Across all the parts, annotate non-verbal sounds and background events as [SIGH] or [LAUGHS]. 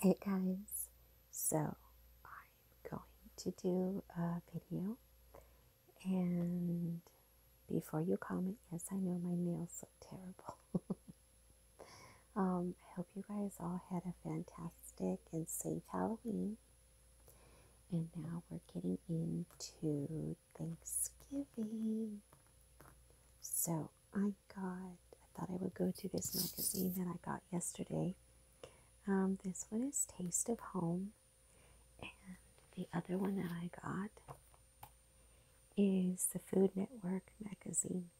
Hey guys, so I'm going to do a video and before you comment, yes I know my nails look terrible. [LAUGHS] um, I hope you guys all had a fantastic and safe Halloween. And now we're getting into Thanksgiving. So I got, I thought I would go to this magazine that I got yesterday. Um, this one is Taste of Home, and the other one that I got is the Food Network magazine.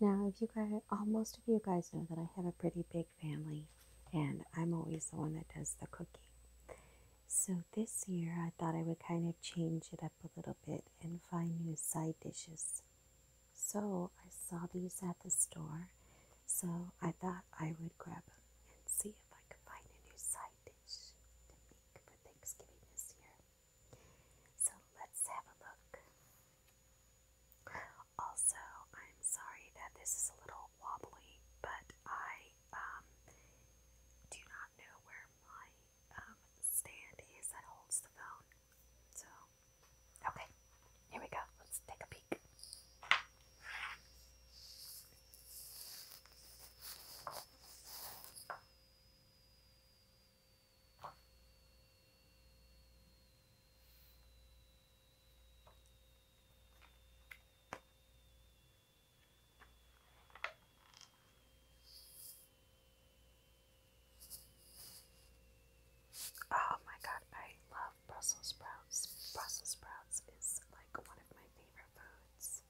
Now, if you guys, almost uh, of you guys know that I have a pretty big family, and I'm always the one that does the cooking. So this year, I thought I would kind of change it up a little bit and find new side dishes. So I saw these at the store, so I thought I would grab them and see if I could find a new side dish to make for Thanksgiving this year. So let's have a look. Also, I'm sorry that this is a little wobbly, but I um, do not know where my um, stand is that holds the phone. So, okay, here we go. Let's take a peek. Oh my god, I love Brussels sprouts. Brussels sprouts is like one of my favorite foods.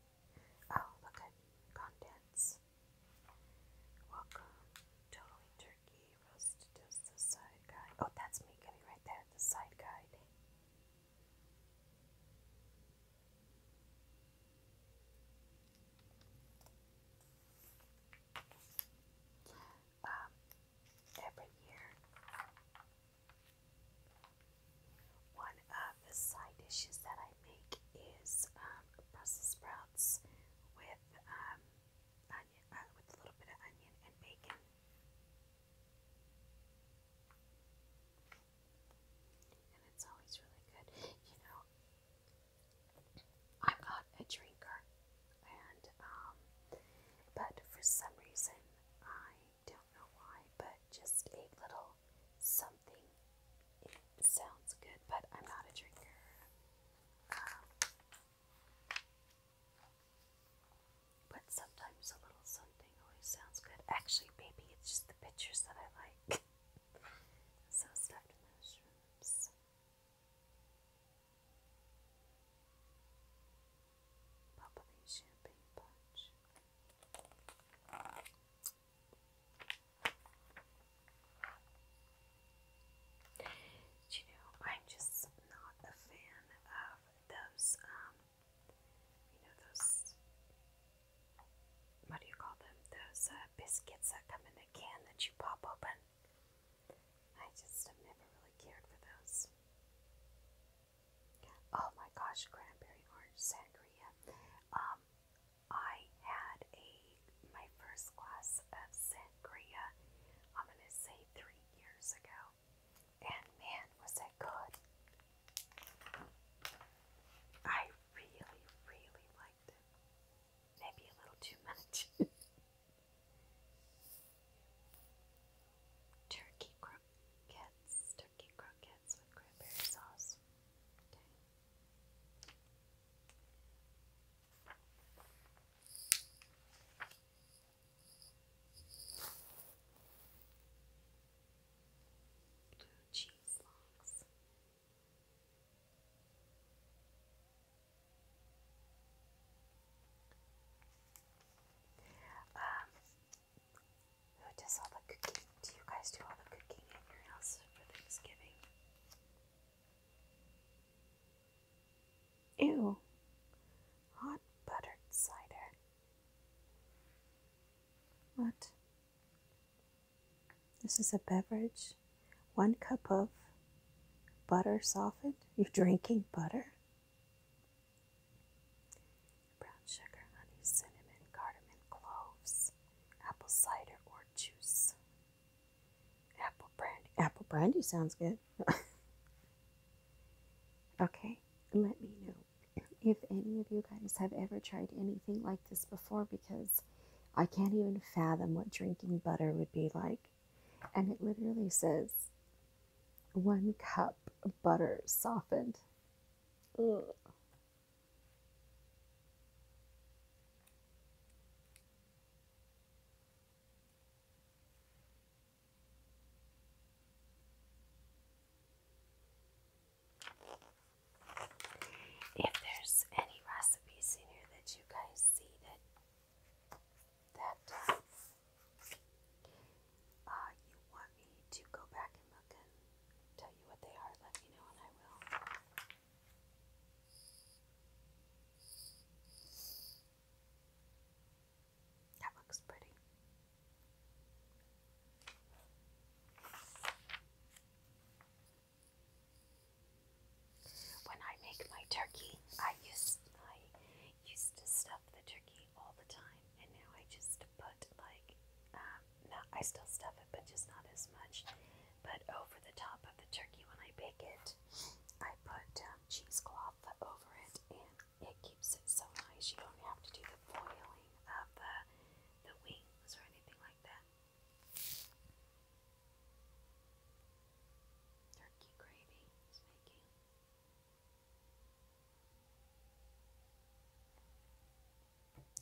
Oh, look at contents. Welcome. Totally turkey, roasted toast, the side guy. Oh, that's me getting right there, the side guide. Um, every year, one of the side dishes that I make is um, Brussels sprouts with um, onion, uh, with a little bit of onion and bacon. And it's always really good. You know, I'm not a drinker, and um, but for some reason, I don't know why, but just a little something. It sounds good, but I'm not a drinker. Um, but sometimes a little something always sounds good. Actually, maybe it's just the pictures that I like. [LAUGHS] so stuffed mushrooms. Bubbly champagne punch. You know, I'm just not a fan of those, um, you know, those, what do you call them? Those, uh, biscuits that come in a can that you pop open. I just have never really cared for those. Oh my gosh, cranberry orange sangria. Um, I had a my first glass of sangria. I'm gonna say three years ago, and man, was it good! I really, really liked it maybe a little too much. [LAUGHS] turkey croquettes, turkey croquettes with cranberry sauce. Blue cheese logs who does all the cooking? Do you guys do all the cooking in your house for Thanksgiving? Ew, hot buttered cider. What? This is a beverage. One cup of butter softened. You're drinking butter. Brown sugar, honey, cinnamon, cardamom, cloves, apple cider or juice, apple brandy. Apple brandy sounds good. [LAUGHS] okay, let me know if any of you guys have ever tried anything like this before because I can't even fathom what drinking butter would be like. And it literally says one cup of butter softened. If there's any recipes in here that you guys see that that uh, uh, you want me to go back and look and tell you what they are, let me know and I will. That looks pretty. When I make my turkey, I used I used to stuff the turkey all the time, and now I just put like um, I still stuff it, but just not as much. But over the top of the turkey when I bake it, I put um, cheesecloth over it, and it keeps it so nice. You don't have to do the foiling of the wings or anything like that. Turkey gravy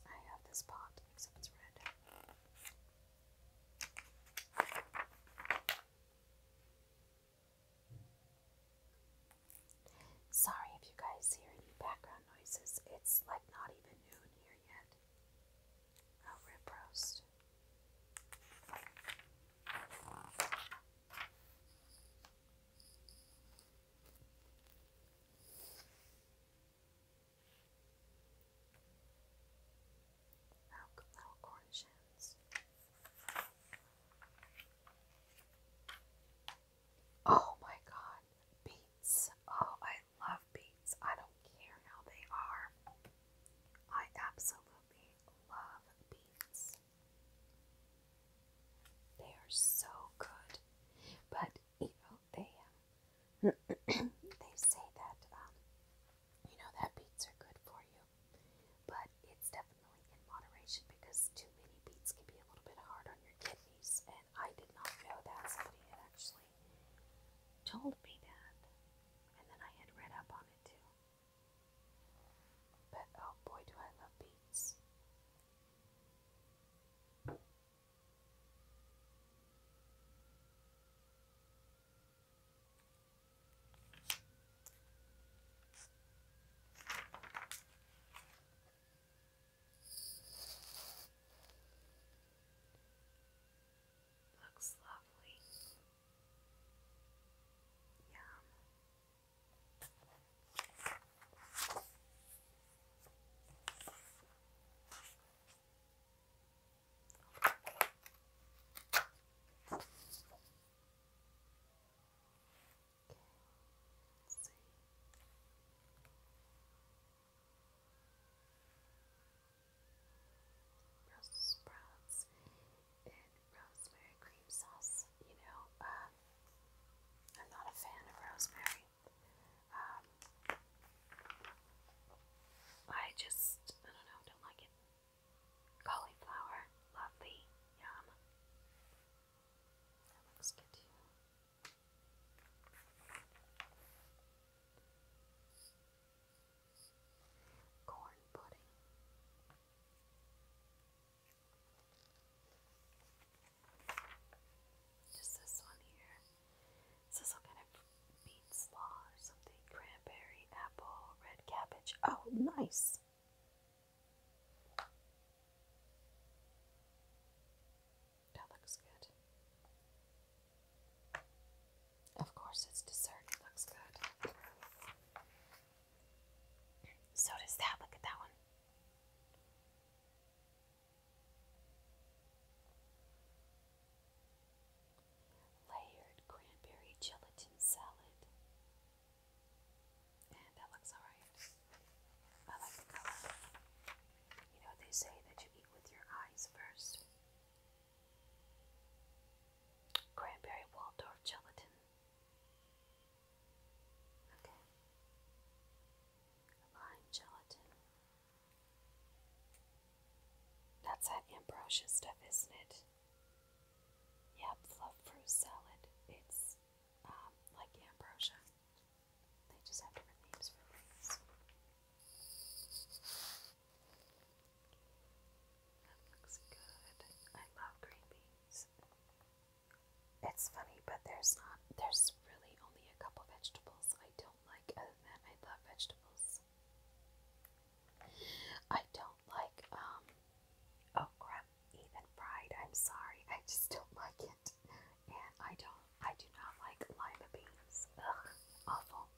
I have this pot, except it's red. Sorry if you guys hear any background noises, it's like not even noon here yet. Oh, rib roast. Oh, little cornichons. Oh my god, beets. Oh, I I love beets. I don't care how they are. I absolutely love beets. They are so good. But, you know, they, um, [CLEARS THROAT] they say that, um, you know, that beets are good for you. But it's definitely in moderation because too many beets can be a little bit hard on your kidneys. And I did not know that. Somebody had actually told me that, and then I had read up on it too. But oh boy, do I love beets! Looks lovely. Yum. Okay. Let's see. Brussels sprouts in rosemary cream sauce. You know, um, I'm not a fan of rosemary. Um, I just, I don't know, don't like it. Cauliflower, lovely, yum. That looks good too corn pudding. Just this one here. This some kind of bean slaw or something. Cranberry, apple, red cabbage. Oh, nice. That looks good. Of course, it's dessert. looks good. So does that. Look at that one. Layered cranberry gelatin salad. And that looks alright. I like the color. You know, they say that you eat with your eyes first. Cranberry Waldorf gelatin. Okay. Lime gelatin. That's that ambrosia stuff, isn't it? Yeah, fluff fruit salad. It's um, like ambrosia. They just have different names for things. That looks good. I love green beans. It's funny, but there's not there's really only a couple vegetables I don't like. Other than I love vegetables. I don't like um okra oh even fried. I'm sorry, I just don't [LAUGHS] like it. And I don't I do not like lima beans. Ugh, awful.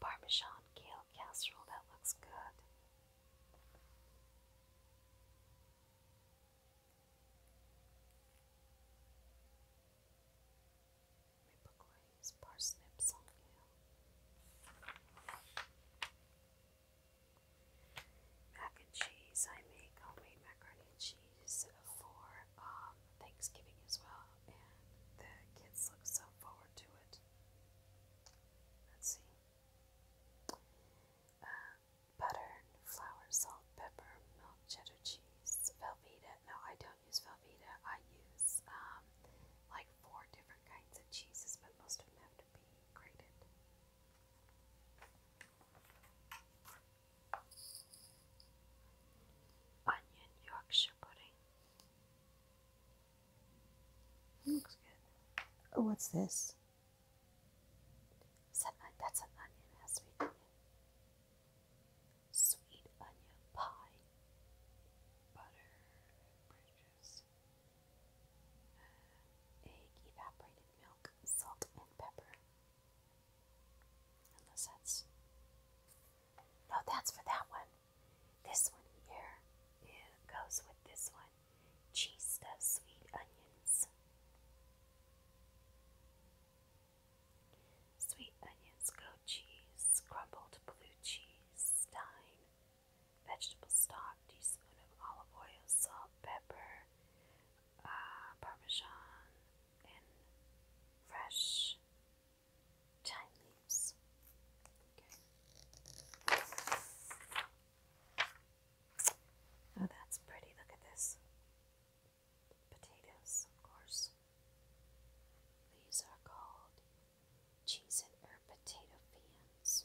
Parmesan kale casserole, that looks good. Maple glaze, parsnips on you mac and cheese. I make homemade macaroni and cheese for um, Thanksgiving as well, and the kids look so forward to it. Let's see. Uh, butter, flour, salt, pepper, milk, cheddar cheese, Velveeta. No, I don't use Velveeta. I use um, like four different kinds of cheeses, but most of them have to be grated. Onion Yorkshire pudding. looks good. Oh, what's this? that's an onion. Sweet onion pie. Butter. Bridges. Egg, evaporated milk, salt, and pepper. Unless that's. No, that's for that one. This one here goes with this one cheese stuffed sweet onions. Sweet onions, goat cheese, crumbled blue cheese, thyme, vegetable stock, teaspoon of olive oil, salt, pepper, uh, parmesan and fresh thyme leaves. Oh, that's pretty. Look at this. Potatoes, of course. These are called cheese and herb potato fans.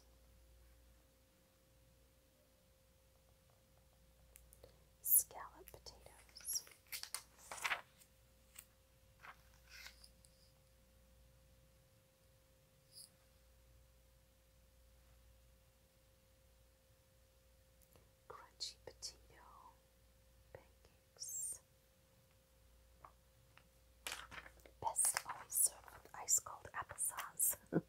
Scalloped potatoes. Crunchy potato pancakes. Best always served with ice cold applesauce. [LAUGHS]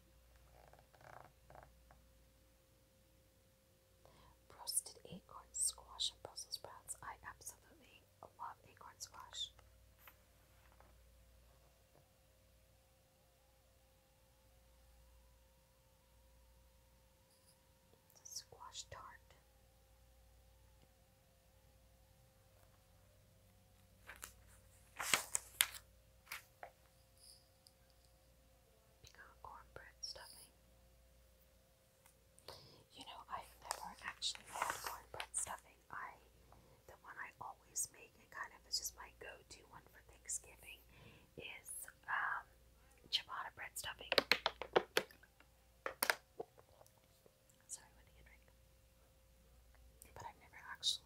Roasted acorn squash and Brussels sprouts. I absolutely love acorn squash. squash tart. Pecan cornbread stuffing. You know, I've never actually had cornbread stuffing. I, the one I always make and kind of is just my go-to one for Thanksgiving is um, ciabatta bread stuffing. Sorry, I went to drink. But I've never actually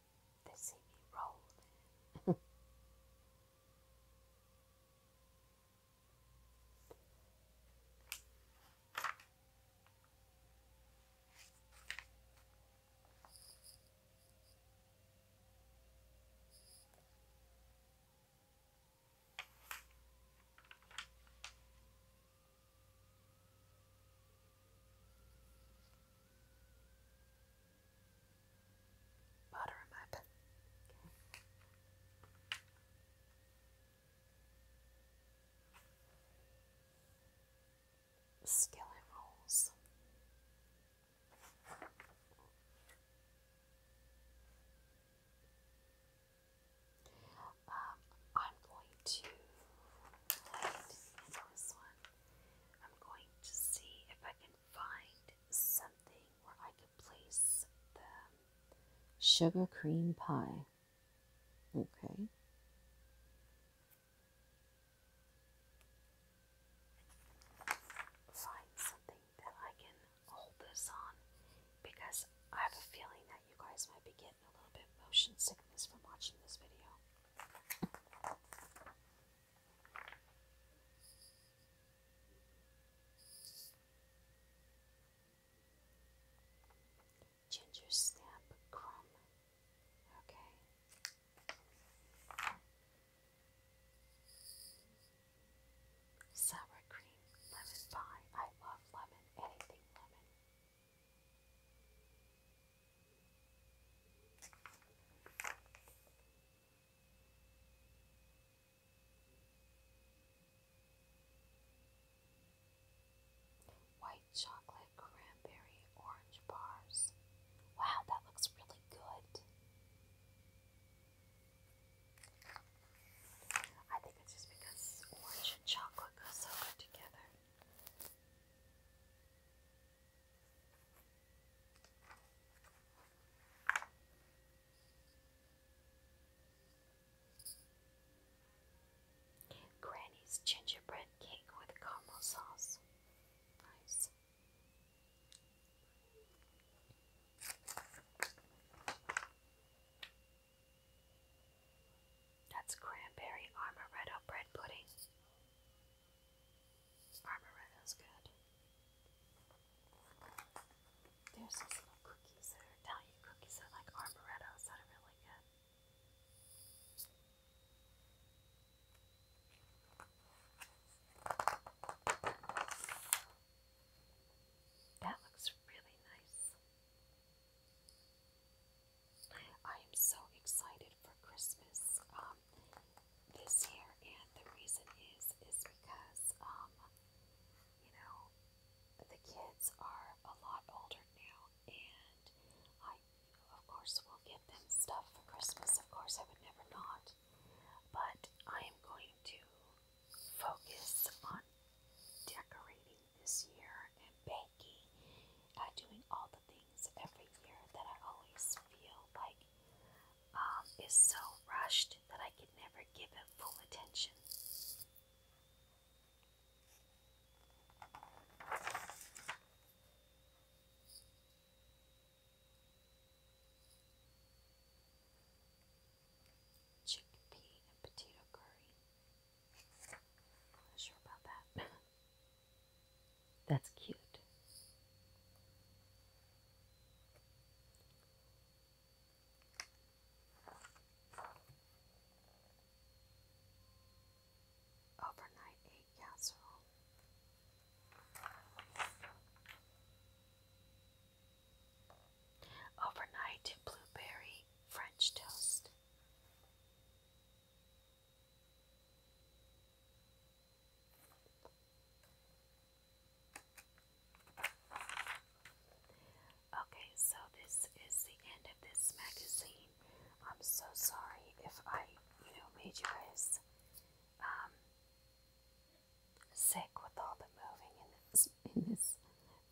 They see me roll. Butter in my rolls. Um, I'm going to light this one. I'm going to see if I can find something where I can place the sugar cream pie. Okay. Find something that I can hold this on because I have a feeling that you guys might be getting a little bit motion sickness from watching this video. Ginger snap crumb. Okay. Sour cream lemon pie. I love lemon. Anything lemon. White chocolate cranberry orange bars. Wow, that looks really good. I think it's just because orange and chocolate go so good together. Granny's gingerbread cake with caramel sauce. Nice. That's cranberry amaretto bread pudding. Armoretto's good. There's these little cookies there, Italian cookies that are like armorettos that are really good. That looks really nice. I am so excited for Christmas um, this year, and the reason is is because um, you know the kids are a lot older now, and I of course will get them stuff for Christmas. Of course, I would never not, but I am going to focus on decorating this year and baking, uh, doing all the things happens every year that I always feel like um, is so rushed that I can never give it full attention. Chickpea and potato curry. not sure about that. [LAUGHS] That's cute. Overnight egg casserole. Overnight blueberry French toast. Okay, so this is the end of this magazine. I'm so sorry if I, you know, made you guys um, sick with all the moving in this in this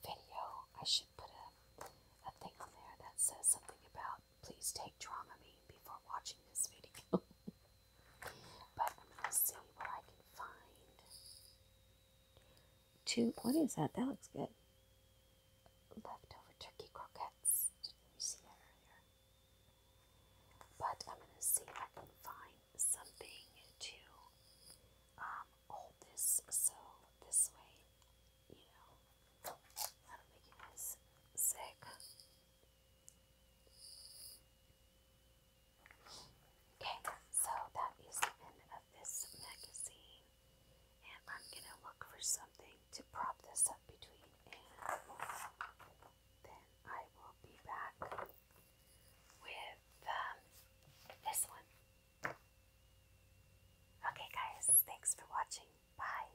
video. I should put a a thing on there that says something about please take Dramamine before watching this video. [LAUGHS] but I'm gonna see what I can find. Two. What is that? That looks good. Leftover turkey croquettes. did we see that earlier? But I'm gonna see if I can find something to um, hold this so this way, you know, that'll make you guys sick. Okay, so that is the end of this magazine. And I'm going to look for something to prop this up between, and then I will be back with um, this one. Okay, guys, thanks for watching. Bye.